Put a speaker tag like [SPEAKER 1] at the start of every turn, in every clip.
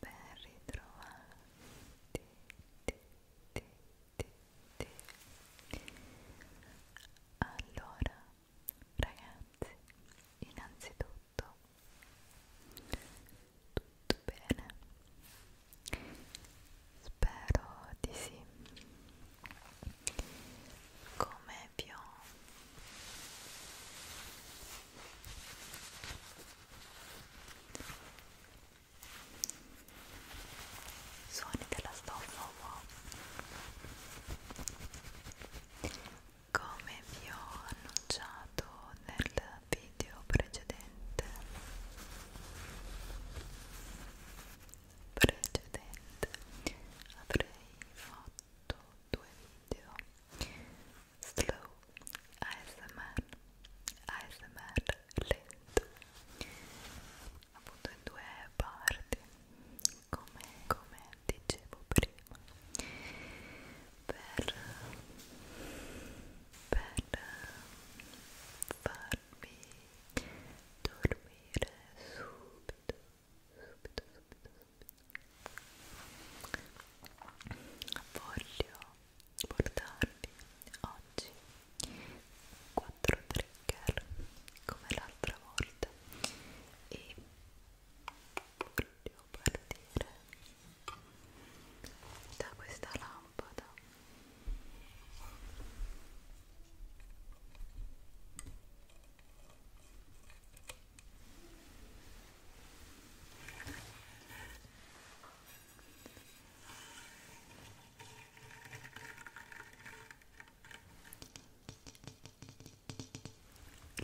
[SPEAKER 1] ben ritrovati ti, ti, ti, ti. allora ragazzi innanzitutto tutto bene spero di sì come vi ho suoni della stoffa wow. come vi ho annunciato nel video precedente precedente avrei fatto fatto due video slow ASMR ASMR lento appunto in due parti come, come dicevo prima per, per farvi dormire subito subito, subito, subito voglio portarvi oggi 4 trigger come l'altra volta e voglio partire da questa lampada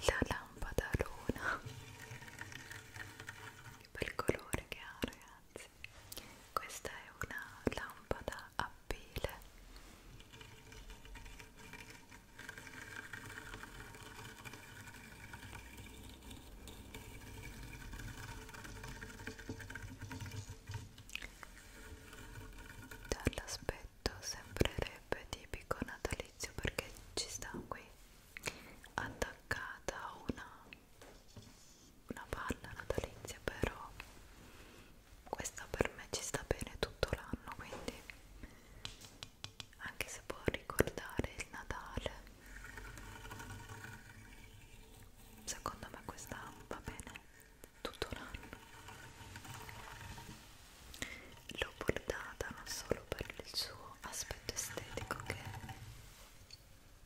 [SPEAKER 1] la lampada luna, che bel colore che ha ragazzi, questa è una lampada a pile Dall'aspetto sembrerebbe tipico natalizio perché ci sta qui attaccata una, una palla natalizia però questa per me ci sta bene tutto l'anno quindi anche se può ricordare il Natale secondo me questa va bene tutto l'anno l'ho portata non solo per il suo aspetto estetico che è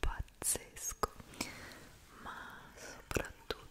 [SPEAKER 1] pazzesco ma soprattutto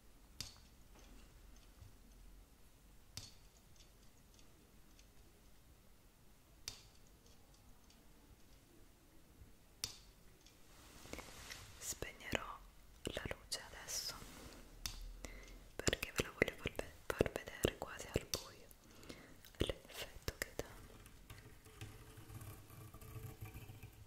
[SPEAKER 1] Spegnerò la luce adesso perché ve la voglio far, ve far vedere quasi al buio l'effetto che dà.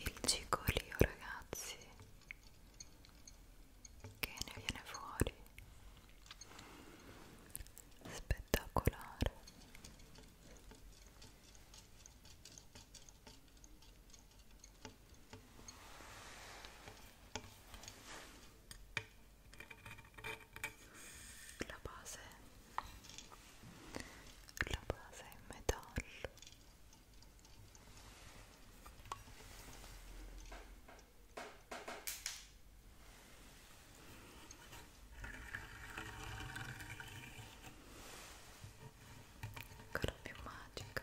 [SPEAKER 1] il cicolio ragazzi che ne viene fuori spettacolare la base la base in metallo ancora più magica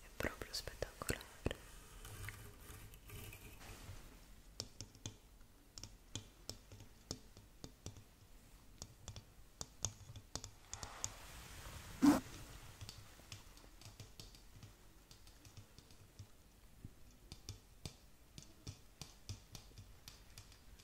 [SPEAKER 2] è proprio spettacolare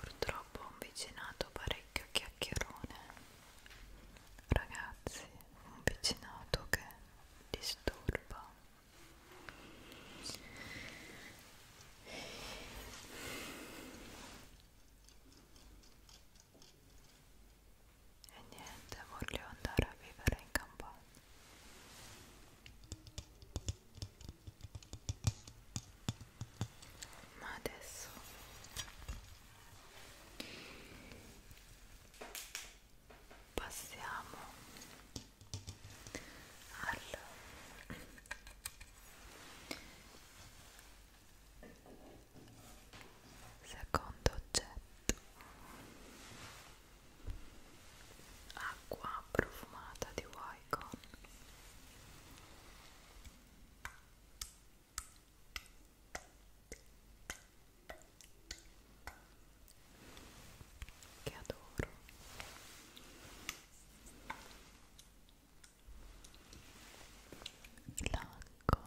[SPEAKER 2] purtroppo ho un vicinato parecchio chiacchierone ragazzi un vicinato che disturba e niente voglio andare a vivere in campagna ma adesso passiamo al secondo oggetto acqua profumata di Wycon che adoro l'acqua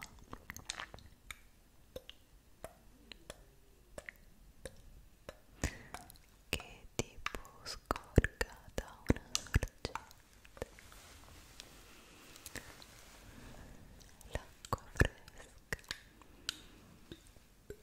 [SPEAKER 2] che tipo scorga da una sorgente l'acqua fresca fresca Fresca,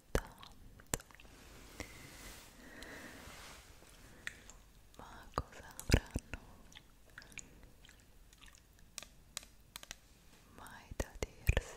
[SPEAKER 2] tanto ma cosa avranno mai da dirsi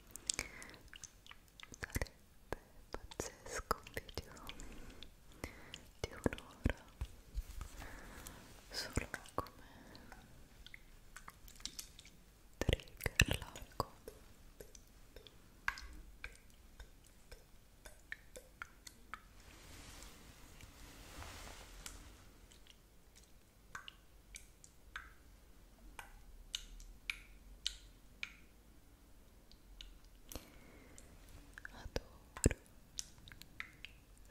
[SPEAKER 2] sarebbe pazzesco un video di un'ora solo come trigger largo Ecco Adoro.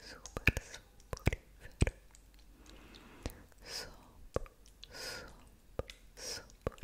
[SPEAKER 2] Super, super, super, super, super. Super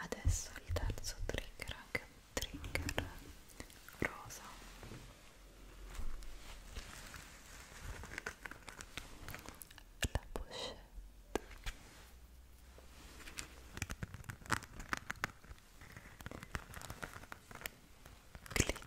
[SPEAKER 2] adesso il terzo trigger anche un trigger rosa la pochette clip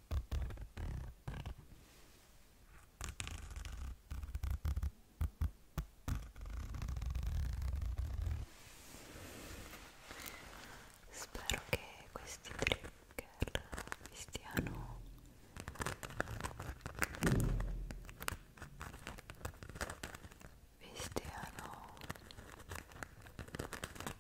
[SPEAKER 2] Spero che questi trigger vi stiano vi stiano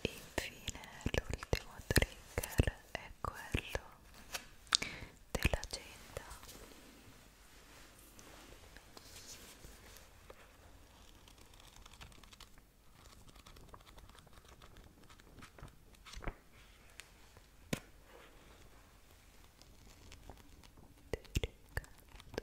[SPEAKER 2] Infine l'ultimo trigger è quello dell'agenda. Delicato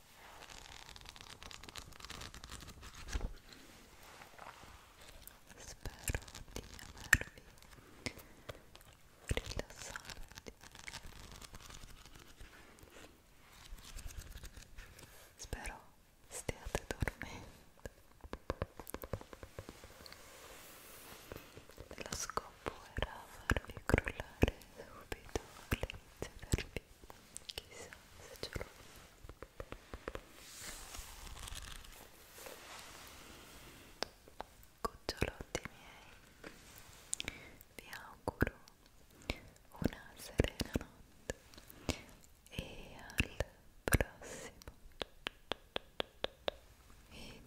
[SPEAKER 2] Spero di avervi rilassati. Spero stiate dormendo. Lo scopo era farvi crollare subito all'inizio del video. Chissà se ce l'ho. Cucciolotti miei, vi auguro una serena notte e al prossimo video.